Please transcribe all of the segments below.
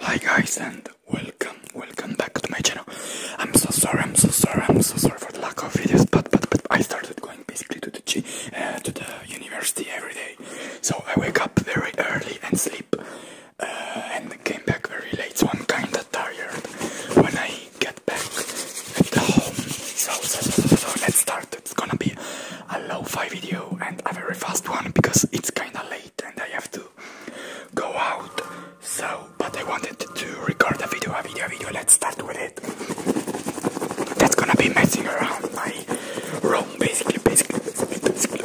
Hi guys and welcome, welcome back to my channel. I'm so sorry, I'm so sorry, I'm so sorry for the lack of videos, but but but I started going basically to the uh, to the university every day. So I wake up very early and sleep, uh, and came back very late. So I'm kinda tired when I get back at the home. So so so, so, so let's start. It's gonna be a low fi video and a very fast one because it's kinda late and I have to go out. So, but I wanted to record a video, a video, video. Let's start with it. That's gonna be messing around my room, basically, basically, basically. basically.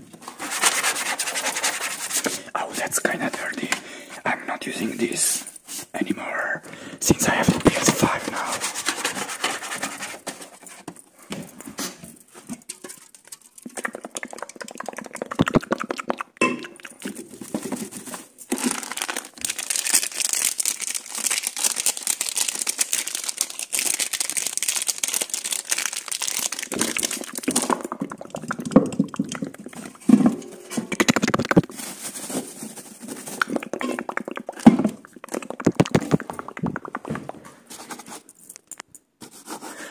Oh, that's kinda dirty. I'm not using this anymore since I have a PS5 now.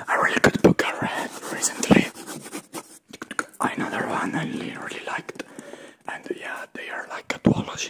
A really good book I read recently. Another one I really liked, and yeah, they are like a duology.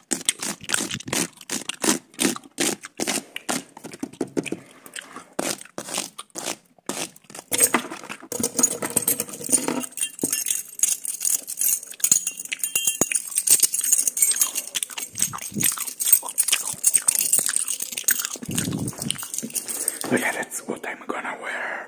So yeah, that's what I'm gonna wear.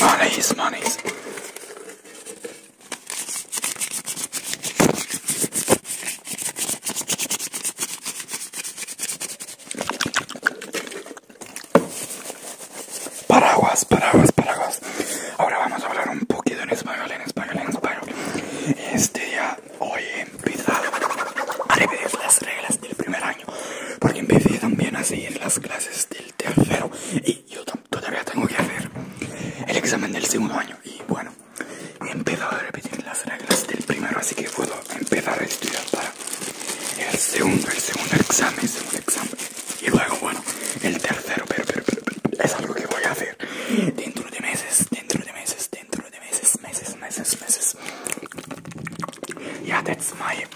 Monies, monies Paraguas, paraguas, paraguas. Ahora vamos a hablar un poquito en español, en español, en español. Este día, hoy he a repetir las reglas del primer año, porque empecé también a seguir las clases el tercero y yo todavía tengo que hacer el examen del segundo año y bueno he empezado a repetir las reglas del primero así que puedo empezar a estudiar para el segundo el segundo examen segundo examen y luego bueno el tercero pero, pero, pero es algo que voy a hacer dentro de meses dentro de meses dentro de meses meses meses meses yeah that's my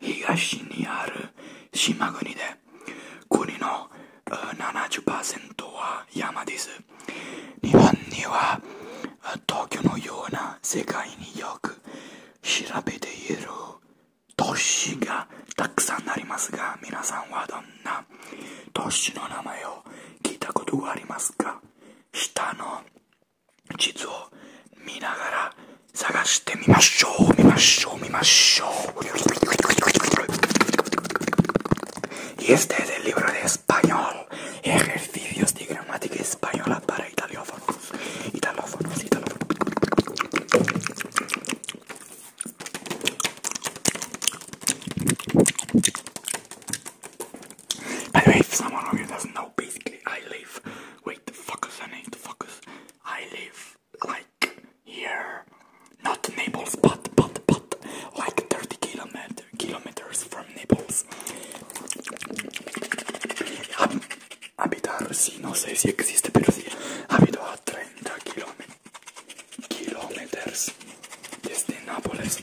東にある島国で国の70%は山です日本には東京のような世界によく調べている都市がたくさんありますが皆さんはどんな都市の名前を聞いたことがありますか Chizuo minagara sagashite mimashou, mimashou, mimashou. Y este es el libro de español, ejercicios de gramática española para italiófonos, italófonos, italófonos. By the way, if someone doesn't know, basically I live Wait, focus, I I live like here, not Naples, but but but like 30 kilometer kilometers from Naples. Habitar, sí, no sé si existe, pero sí. Habito a 30 kilómetros desde Nápoles.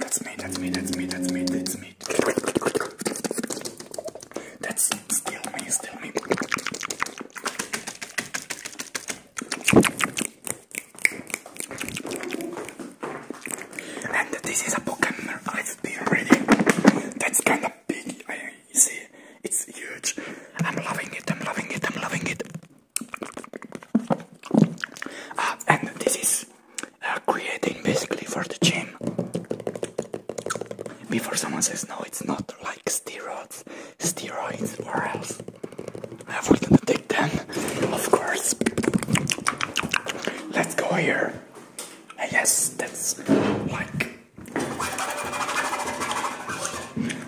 That's meat, that's meat, that's meat, that's meat, that's meat. That's still me, still me. And this is a Pokemon I've been reading. That's kind of big. I see, it's huge. I'm loving it. I'm loving it. I'm loving it. Uh, and this is uh, creating basically for the gym. Before someone says no, it's not like steroids, steroids or else i are gonna take them, of course. Let's go here. Yes, that's like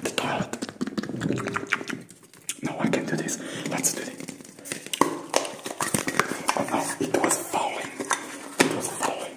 the toilet. No, I can do this. Let's do this. Oh it was falling. It was falling.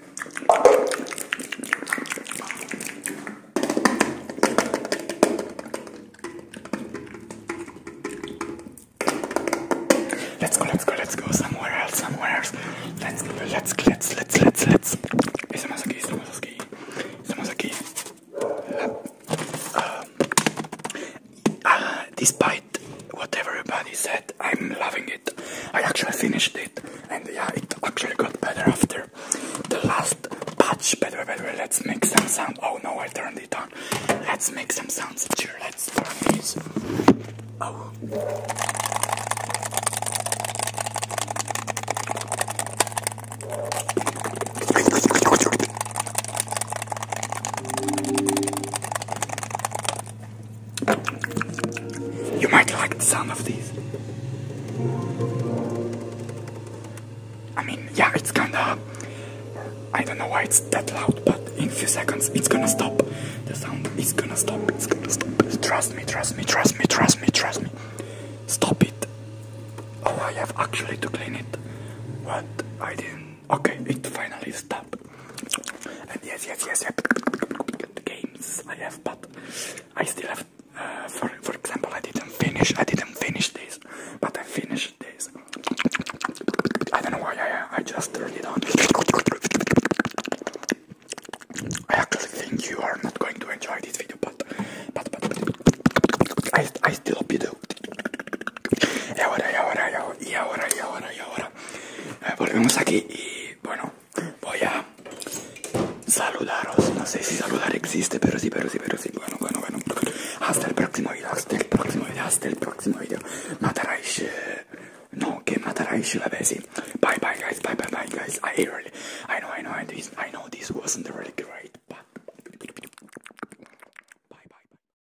Let's go, let's go, let's go somewhere else, somewhere else. Let's, let's, let's, let's, let's, let's. Estamos aquí, estamos aquí, estamos aquí. Uh, uh, despite what everybody said, I'm loving it. I actually finished it, and yeah, it actually got better after the last batch. Better, better. Let's make some sound. Oh no, I turned it on. Let's make some sounds. Cheer. Let's turn these. Oh. You might like the sound of these. I mean, yeah, it's kinda. I don't know why it's that loud, but in a few seconds it's gonna stop. The sound is gonna stop. It's gonna stop. Trust me, trust me, trust me, trust me, trust me. Stop it. Oh, I have actually to clean it. but I didn't. Okay, it finally stopped. And yes, yes, yes, yes, the games I have, but I still have. Uh, for for example, I didn't finish. I didn't finish this, but I finished this. I don't know why I I just turned it on. I actually think you are not going to enjoy this video, but but but, but I I still hope you do. E ora, e ora, e ora, e ora, e ora, volvemos aquí y bueno voy a saludaros no sé si saludar existe pero sí pero sí pero sí bueno bueno hasta el próximo video hasta el próximo video hasta el próximo video mataráis eh, no que matarais la vez bye bye guys bye bye bye guys I know I know this, I know this wasn't really great but bye bye